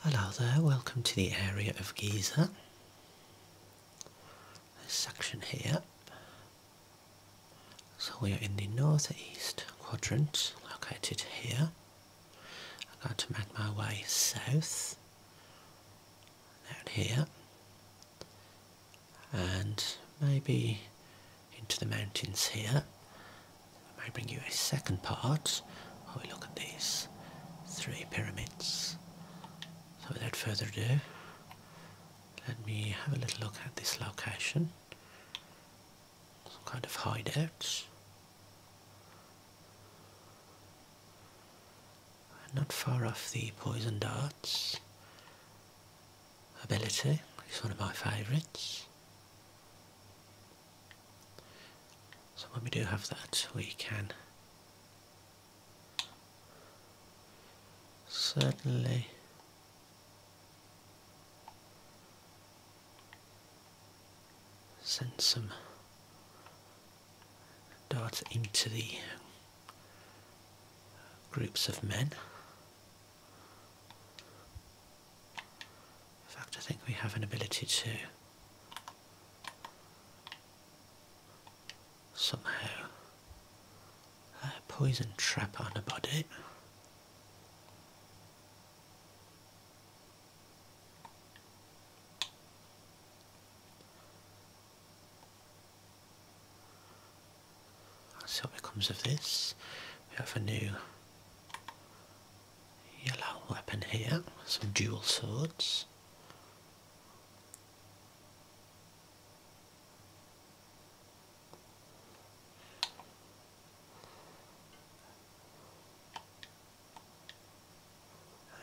Hello there, welcome to the area of Giza. This section here. So we are in the northeast quadrant, located here. I'm going to make my way south, out here, and maybe into the mountains here, I may bring you a second part while we look at these three pyramids. So without further ado, let me have a little look at this location. Some kind of hideout. Not far off the poison darts ability. It's one of my favourites. So when we do have that, we can certainly send some dart into the groups of men. In fact, I think we have an ability to somehow uh, poison trap on a body. Let's see what becomes of this. We have a new yellow weapon here, some dual swords.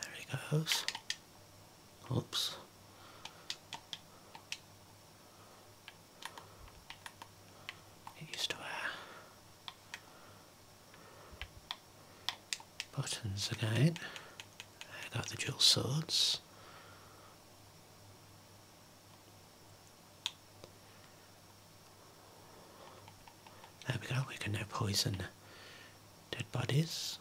There he goes. Oops. It used to wear Buttons again. I got the dual swords. There we go, we can now poison dead bodies.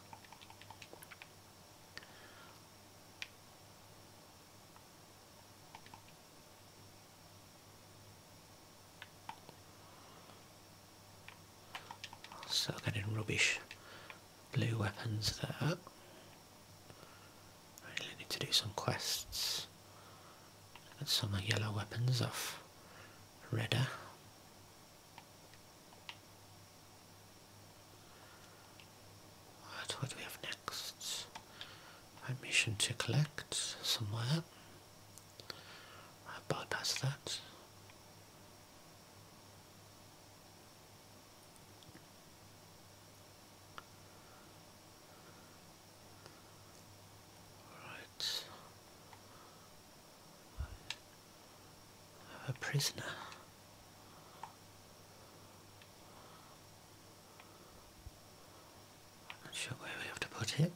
Suck it in rubbish. Blue weapons there. I really need to do some quests. Get some yellow weapons off redder. what do we have next? A mission to collect somewhere. I bypass that. Right. A prisoner. Not sure where we have to put it.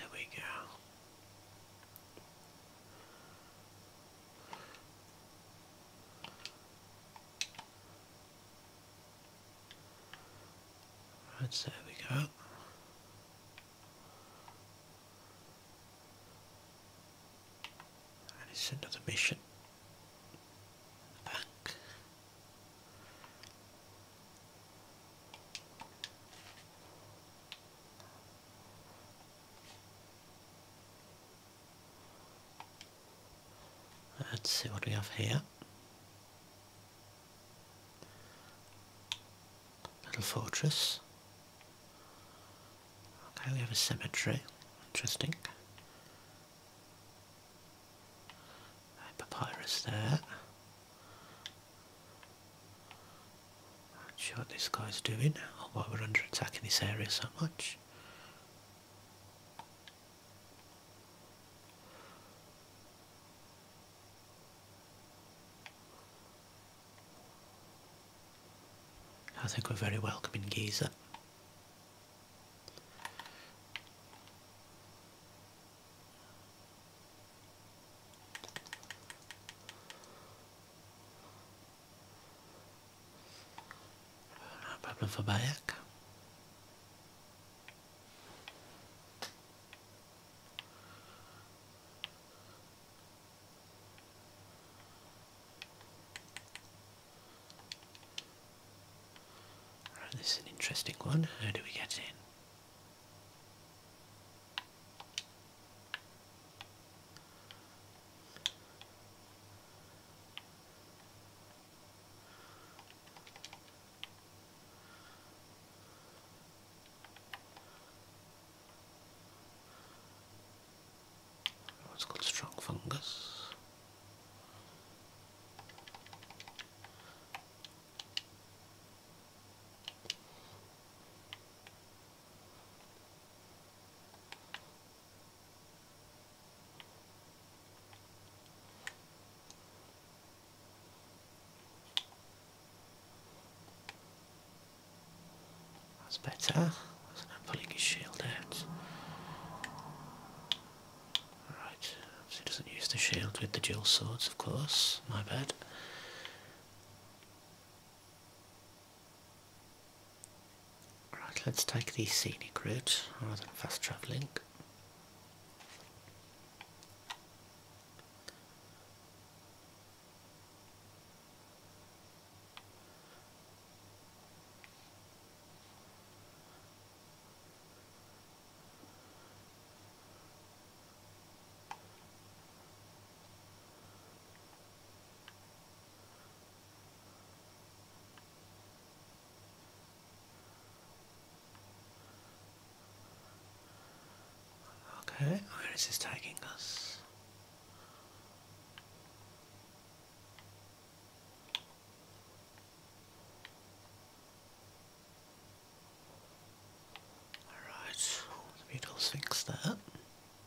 There we go. Right, there we go. And it's another mission. Back. Let's see what we have here. Little fortress. Okay, we have a cemetery. Interesting. papyrus there. Not sure what this guy's doing, or why we're under attack in this area so much. I think we're very welcome in Giza. Problem for Right, this is an interesting one. How do we get in? It's called strong fungus. That's better. was pulling his shield out? Alright, he doesn't use the shield with the dual swords, of course. My bad. Right, let's take the scenic route rather than fast travelling. Okay, where is this taking us? Alright, the beetle's fixed that.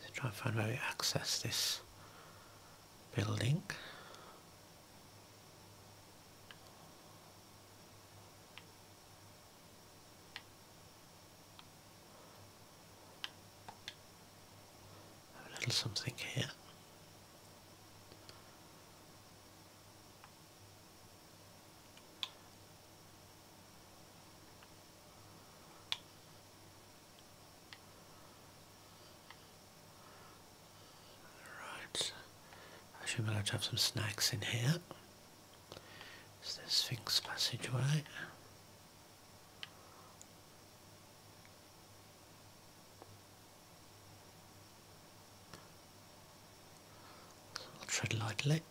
Let's try and find where we access this building. a little something here. Right, I should be able to have some snacks in here. It's the Sphinx passageway. I'll tread lightly.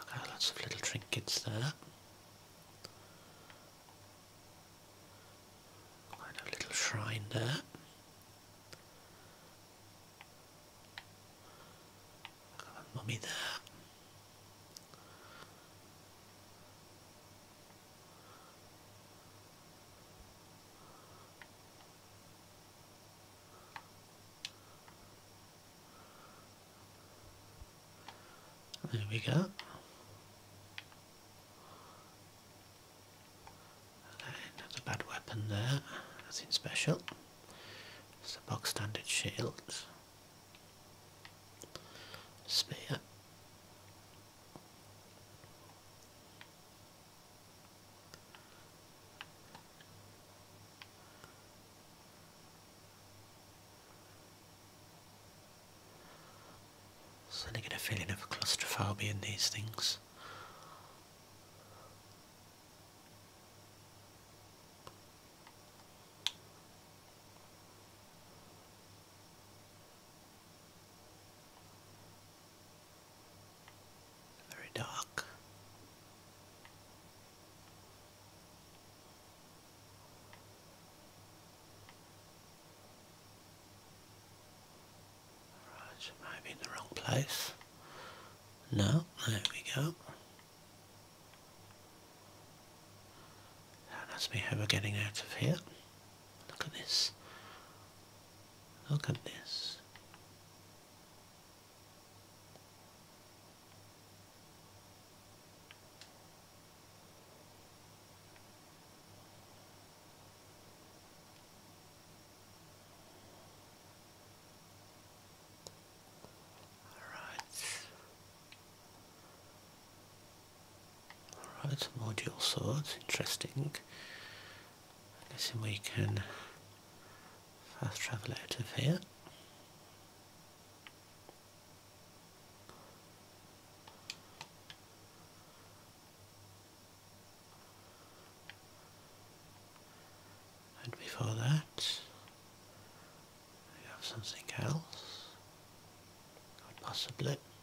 Okay, lots of little trinkets there. Quite a little shrine there. Got a mummy there. There we go. That's bad weapon there, nothing special. It's a box standard shield. Spear. Suddenly get a feeling of claustrophobia in these things very dark. Right, maybe in the wrong place. No, there we go. that's me how we're getting out of here. Look at this. Look at this. All right. Alright, more dual swords, interesting. I'm guessing we can fast travel out of here. And before that, we have something else, possibly.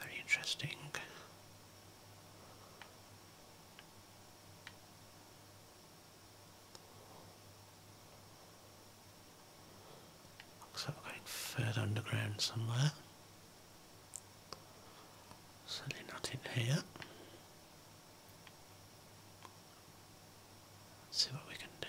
Very interesting. Looks like we're going further underground somewhere. Certainly not here. see what we can do.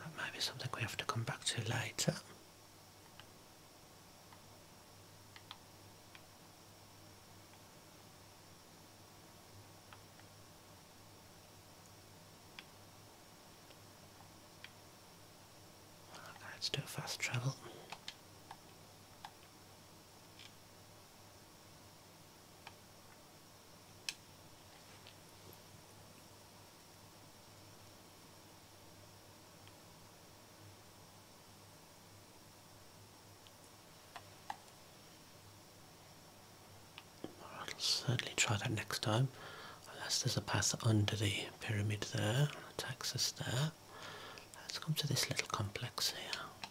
that might be something we have to come back to later. Let's do a fast travel. I'll certainly try that next time. Unless there's a path under the pyramid there, that takes us there. Let's come to this little complex here.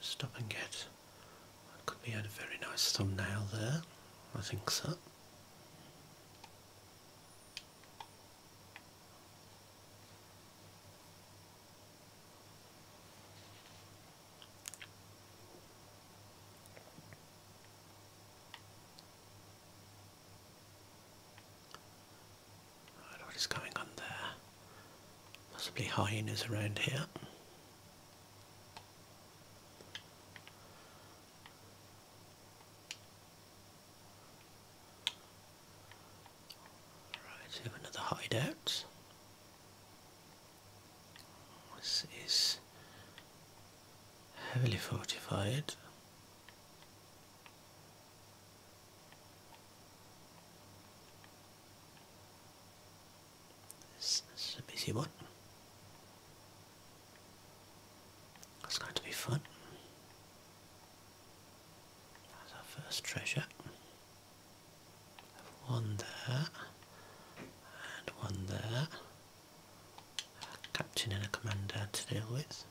stop and get. could be a very nice thumbnail there. I think so. Right, what is going on there? Possibly hyenas around here. Right, we have another hideout. This is heavily fortified. This, this is a busy one. That's going to be fun. That's our first treasure. one there, and one there. captain and a commander to deal with.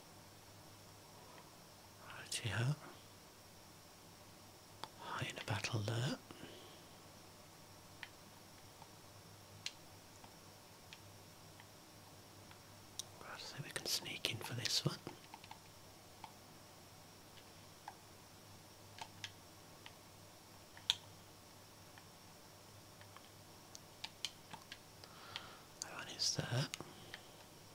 Righty ho. High in a battle alert. Right, so we can sneak in for this one. That one is there.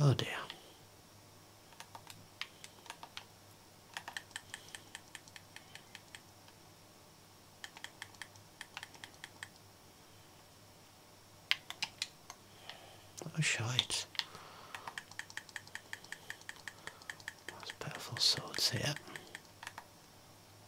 Oh dear. Oh shit! That's powerful swords here.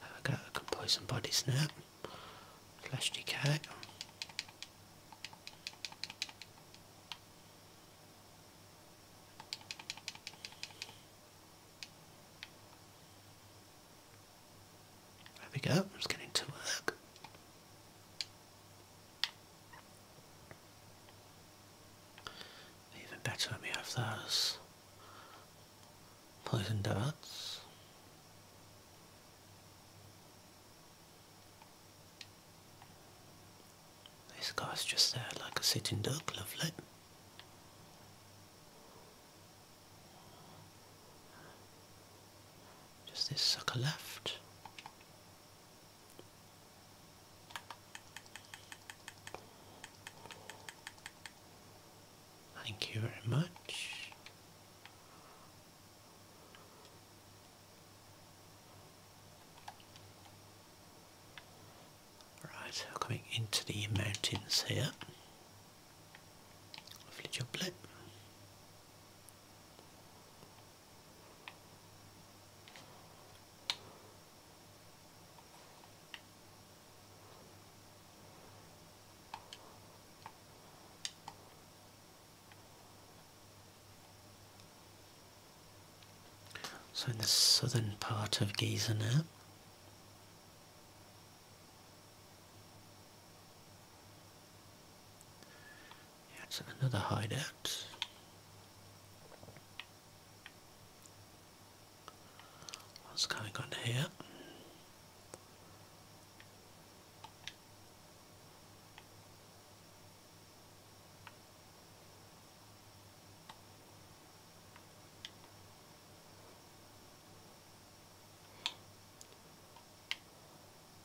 There we go, I can buy some bodies now. Slash decay. There we go, it's getting to work. Even better when we have those poison darts. This guy's just there like a sitting duck, lovely. Just this sucker left? Thank you very much. Right, coming into the mountains here. Lovely jump so in the southern part of Giza now. That's another hideout. What's going on here?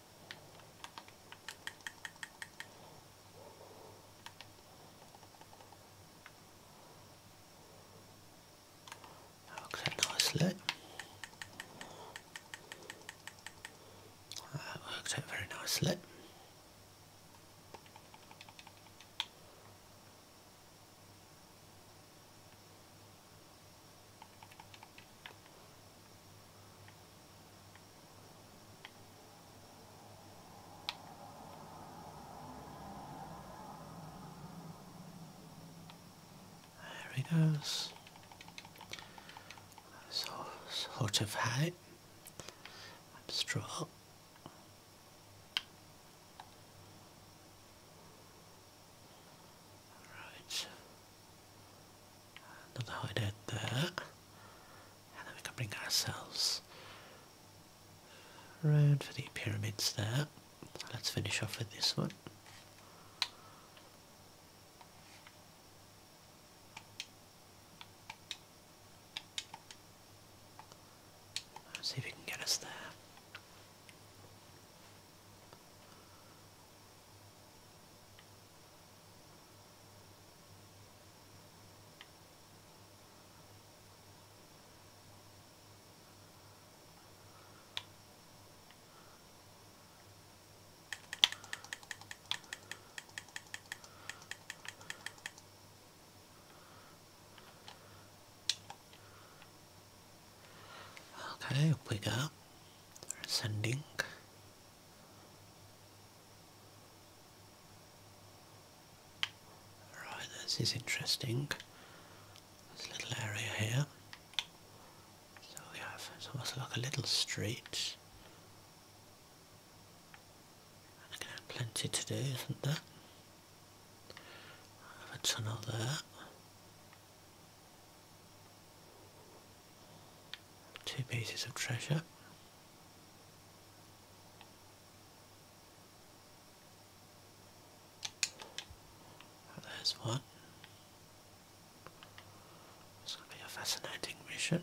That looks a nice out very nicely. There he goes. sort of height. i Right. Don't know how did that. And then we can bring ourselves around for the pyramids there. Let's finish off with this one. see if we can get us there. Okay, we go. sending. Right, this is interesting. This little area here. So we have, almost like a little street. And again, plenty to do, isn't there? I have a tunnel there. Two pieces of treasure. There's one. It's going to be a fascinating mission.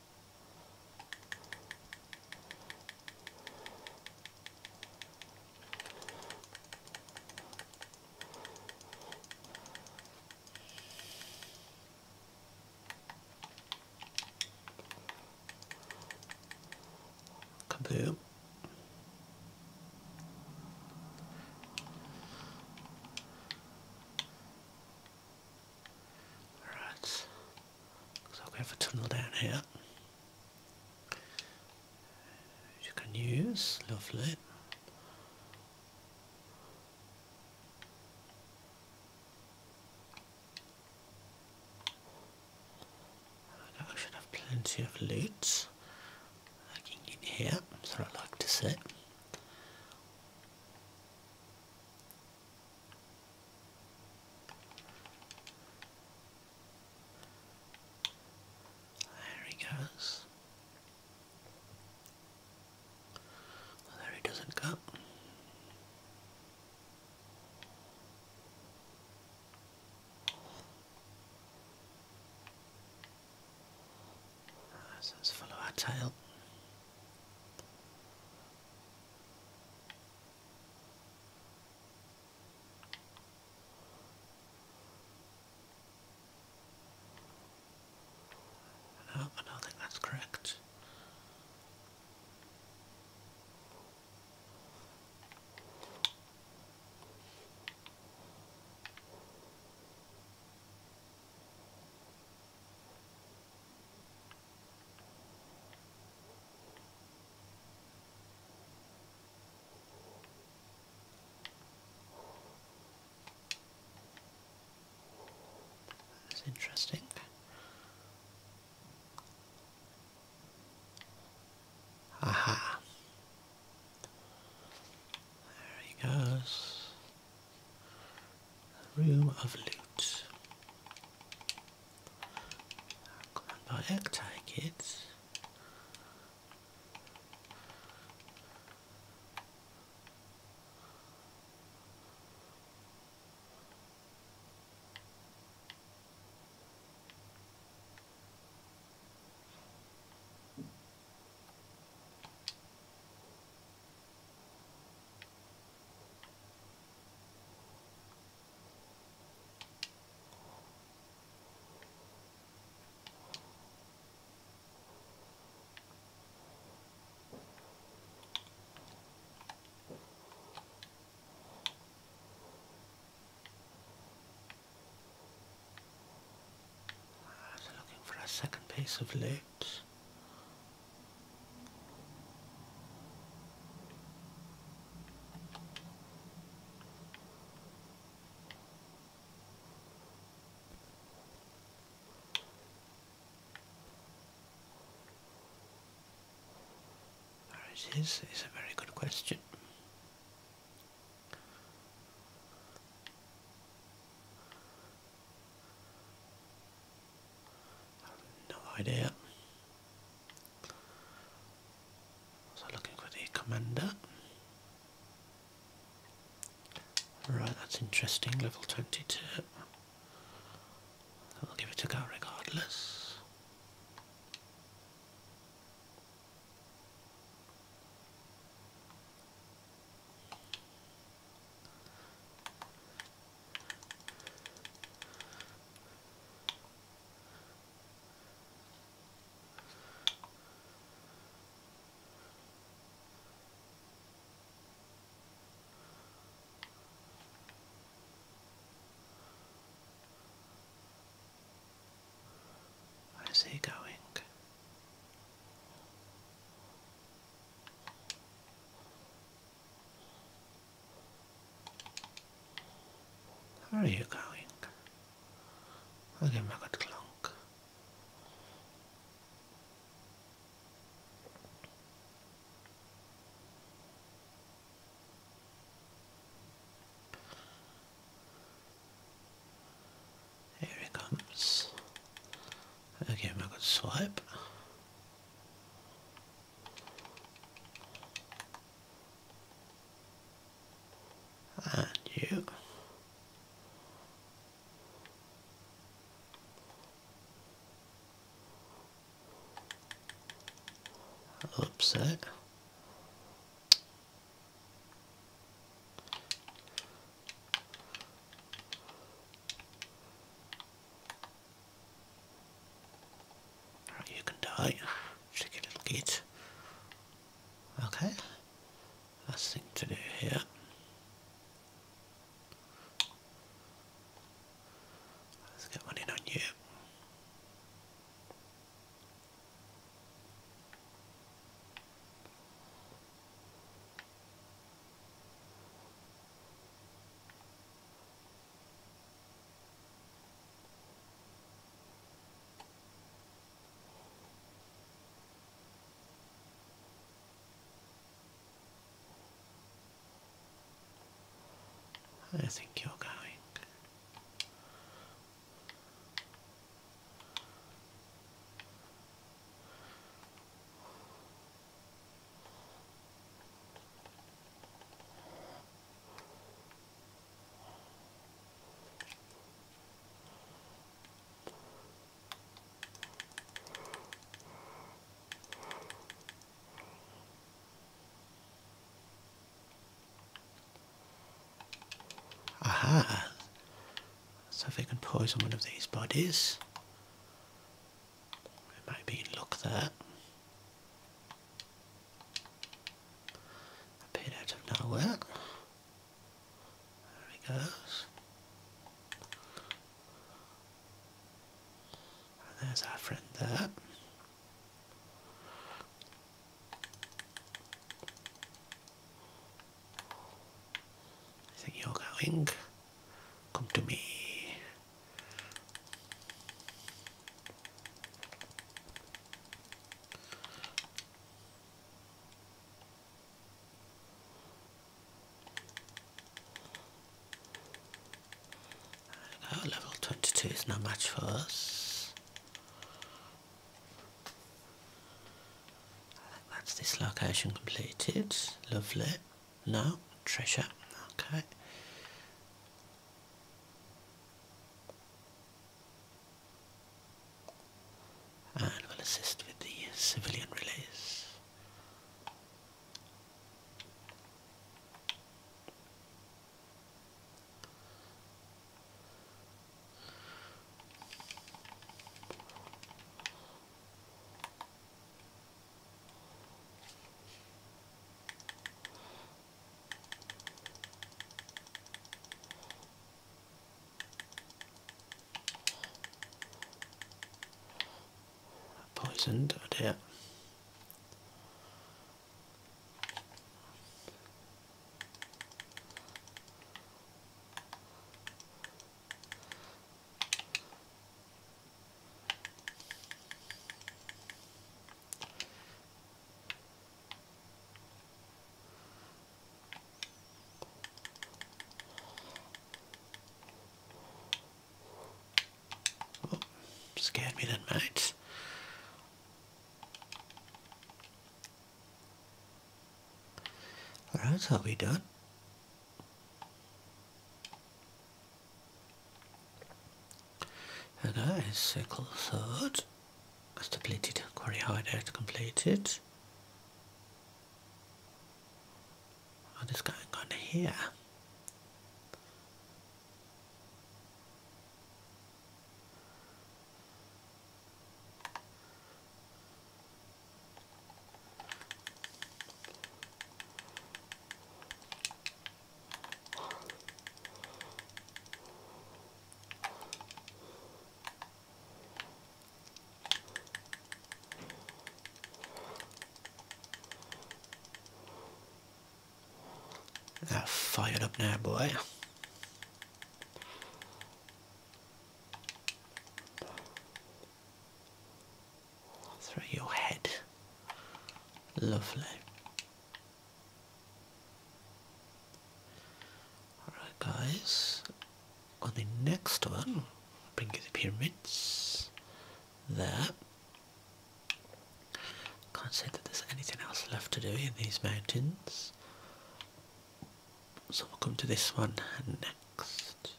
Kaboom. All right. So i have go for tunnel down here. Which you can use, lovely. I should have plenty of loot can get here, so I like to sit. There he goes. there he doesn't go. let's follow our tail. Oh, I don't think that's correct. That's interesting. Aha. There he goes. room of loot. I Remember egg it. I'm looking for a second piece of loot. There it is, a very good question. No idea. So looking for the commander. Right, that's interesting, level 22. I'll give it a go regardless. Where's he going? Where are you going? Okay, my good clunk. Here he comes. Okay, my good swipe. And you. Upset. Right, you can die. Cheeky little git. Okay. Last thing to do here. Let's get one in on you. I think you're going. Aha! So they can poison one of these bodies. We might be in luck there. Appeared out of nowhere. There he goes. there's our friend there. I think going. Come to me. level 22 is no match for us. that's this location completed. Lovely. No, treasure. Okay. And will assist with the civilian release. Poisoned, oh Oh, scared me that mate. Alright, so we done. And circle sickle third. completed. depleted. Quarry hideout completed. What oh, is going on here? That fired up now, boy. through your head. Lovely. Alright guys, on the next one, bring you the pyramids. There. Can't say that there's anything else left to do in these mountains. So we'll come to this one next.